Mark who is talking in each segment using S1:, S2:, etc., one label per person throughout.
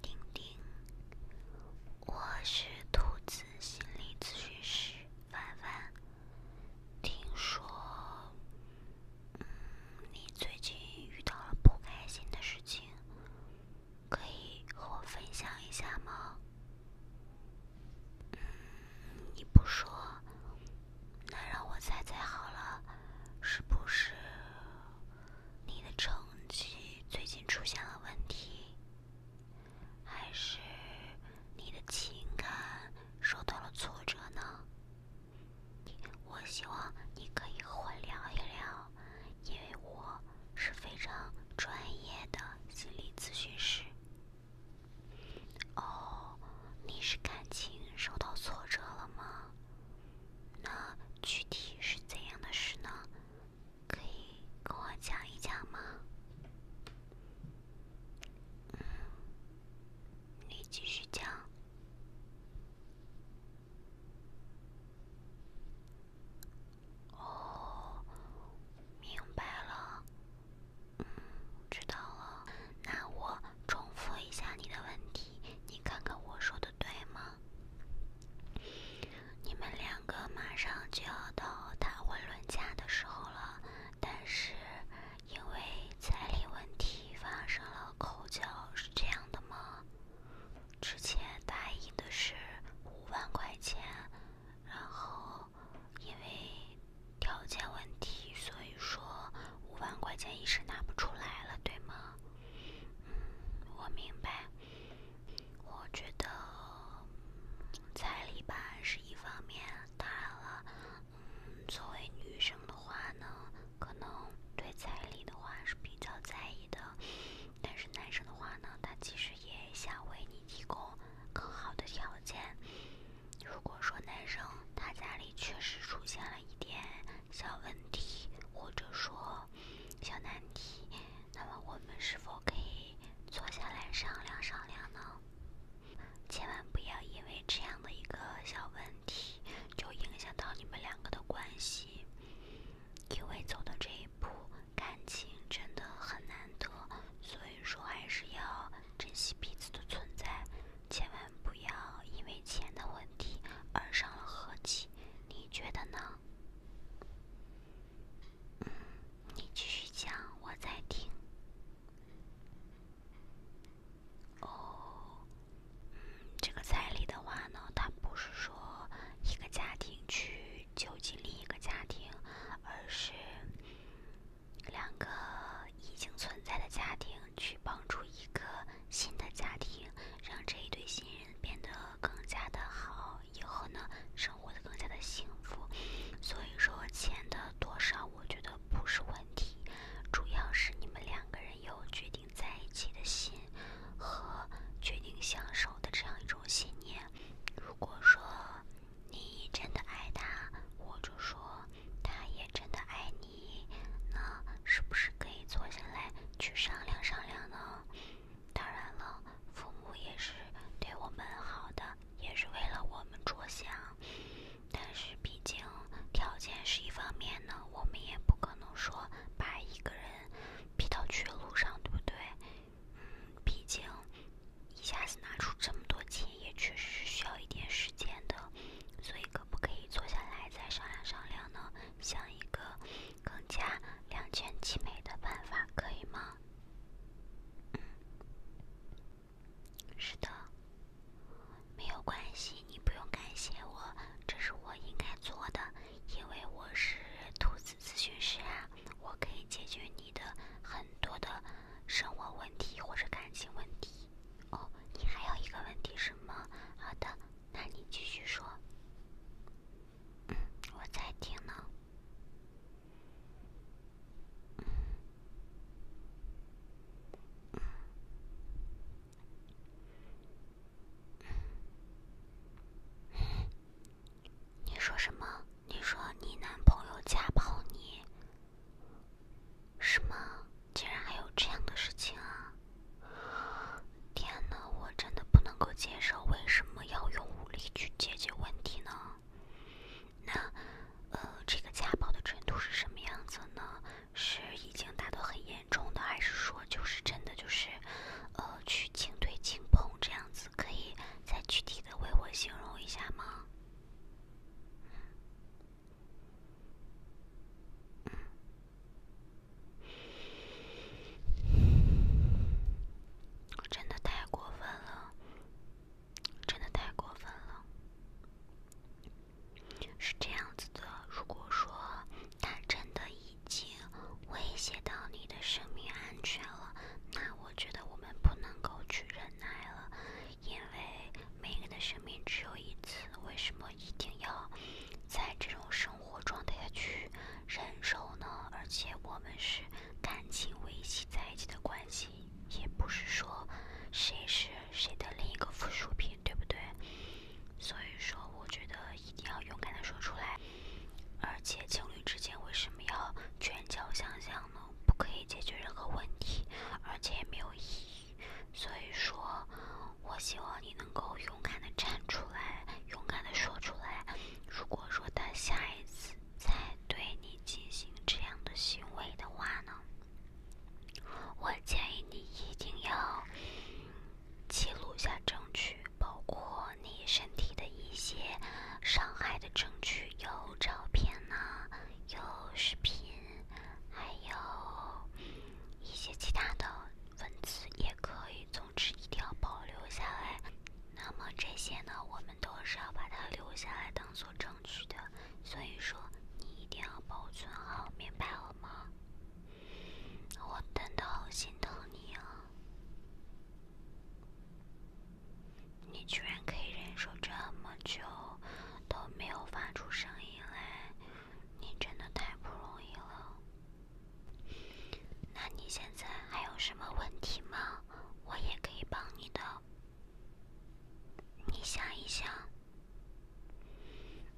S1: 叮叮，我是兔子心理咨询师婉婉。听说，嗯，你最近遇到了不开心的事情，可以和我分享一下吗？嗯，你不说。那让我猜猜好了，是不是你的成绩最近出现了问题，还是你的情感受到了挫折呢？我希望你可以和我聊一聊，因为我是非常专业的心理咨询师。哦，你是感情受到挫折了吗？那具体是怎样的事呢？可以跟我讲一讲吗？嗯，你继续讲。哦，明白了。嗯，知道了。那我重复一下你的问题，你看看我说的对吗？你们两个马上就要到谈婚论嫁的时候了，但是因为彩礼问题发生了口角，是这样的吗？之前答应的是五万块钱，然后。因为条件问题，所以说五万块钱一时拿不出来了，对吗？嗯，我明白。我觉得彩礼吧是一方面，当然，了，嗯，作为女生的话呢，可能对彩礼的话是比较在意的，但是男生的话呢，他其实也想为你。提供更好的条件。如果说男生他家里确实出现了一点小问题，或者说小难题，那么我们是否可以坐下来商量商量呢？千万不要因为这样的一个小问题就影响到你们两个的关系，因为走到这。不，感情真的很难得，所以说还是要珍惜彼此的存在，千万不要因为钱的问题而伤了和气。你觉得呢？嗯，你继续讲，我在听。哦，嗯，这个彩礼的话呢，它不是说。一个家庭去救济另一个家庭，而是两个已经存在的家庭去帮助一个新的家庭，让这一对新人变得更加的好，以后呢，生活的更加的幸福。所以说，钱的多少，我觉得不是问题，主要是你们两个人有决定。在一起的心和决定相守的这样一种信念，如果说你真的爱他，或者说他也真的爱你，那是不是可以坐下来去商量商量呢？当然了，父母也是对我们好的，也是为了我们着想，但是毕竟条件是一方面呢，我们也不可能说把一个人。逼到绝路上，对不对？嗯，毕竟一下子拿出这么多钱，也确实是需要一点时间的。所以，可不可以坐下来再商量商量呢？想一个更加两全其美的办法，可以吗？嗯，是的。没有关系，你不用感谢我，这是我应该做的，因为我是兔子咨询师啊，我可以解决你的很多的生活问题或者感情问题。哦，你还有一个问题是吗？好的，那你继续说，嗯，我在听呢。嗯。你说什么？你说你男朋友家暴你？什么？竟然还有这样的事情啊！天哪，我真的不能够接受！为什么要用武力去解决问题呢？那，呃，这个家暴的程度是什么样子呢？是已经达到很严重的，还是说就是真的就是，呃，去轻推轻碰这样子？可以再具体的为我形容一下吗？真的太过分了。真的太过分了，是这样子的。如果说他真的已经威胁到你的生命安全了，那我觉得我们不能够去忍耐了。因为每个人的生命只有一次，为什么一定要在这种生活状态去忍受呢？而且我们是感情维系在一起的关系。也不是说，谁是谁的另一个附属品，对不对？所以说，我觉得一定要勇敢的说出来。而且，情侣之间为什么要拳脚相向呢？不可以解决任何问题，而且也没有意义。所以说，我希望你能够勇敢的站出来，勇敢的说出来。如果说他下一次……在对你进行这样的行为的话呢，我建议你一定要记录下证据，包括你身体的一些伤害的证据，有照片呢，有视频，还有一些其他的文字也可以。总之，一定要保留下来。那么这些呢，我们。都是要把它留下来当做证据的，所以说你一定要保存好，明白了吗？我真的好心疼你啊！你居然可以忍受这么久，都没有发出声音来，你真的太不容易了。那你现在还有什么问题吗？我也可以帮你的，你想一想。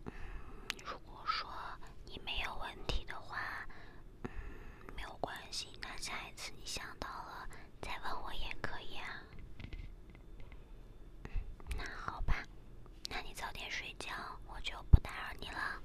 S1: 嗯，如果说你没有问题的话，嗯，没有关系。那下一次你想到了再问我也可以啊。那好吧，那你早点睡觉，我就不打扰你了。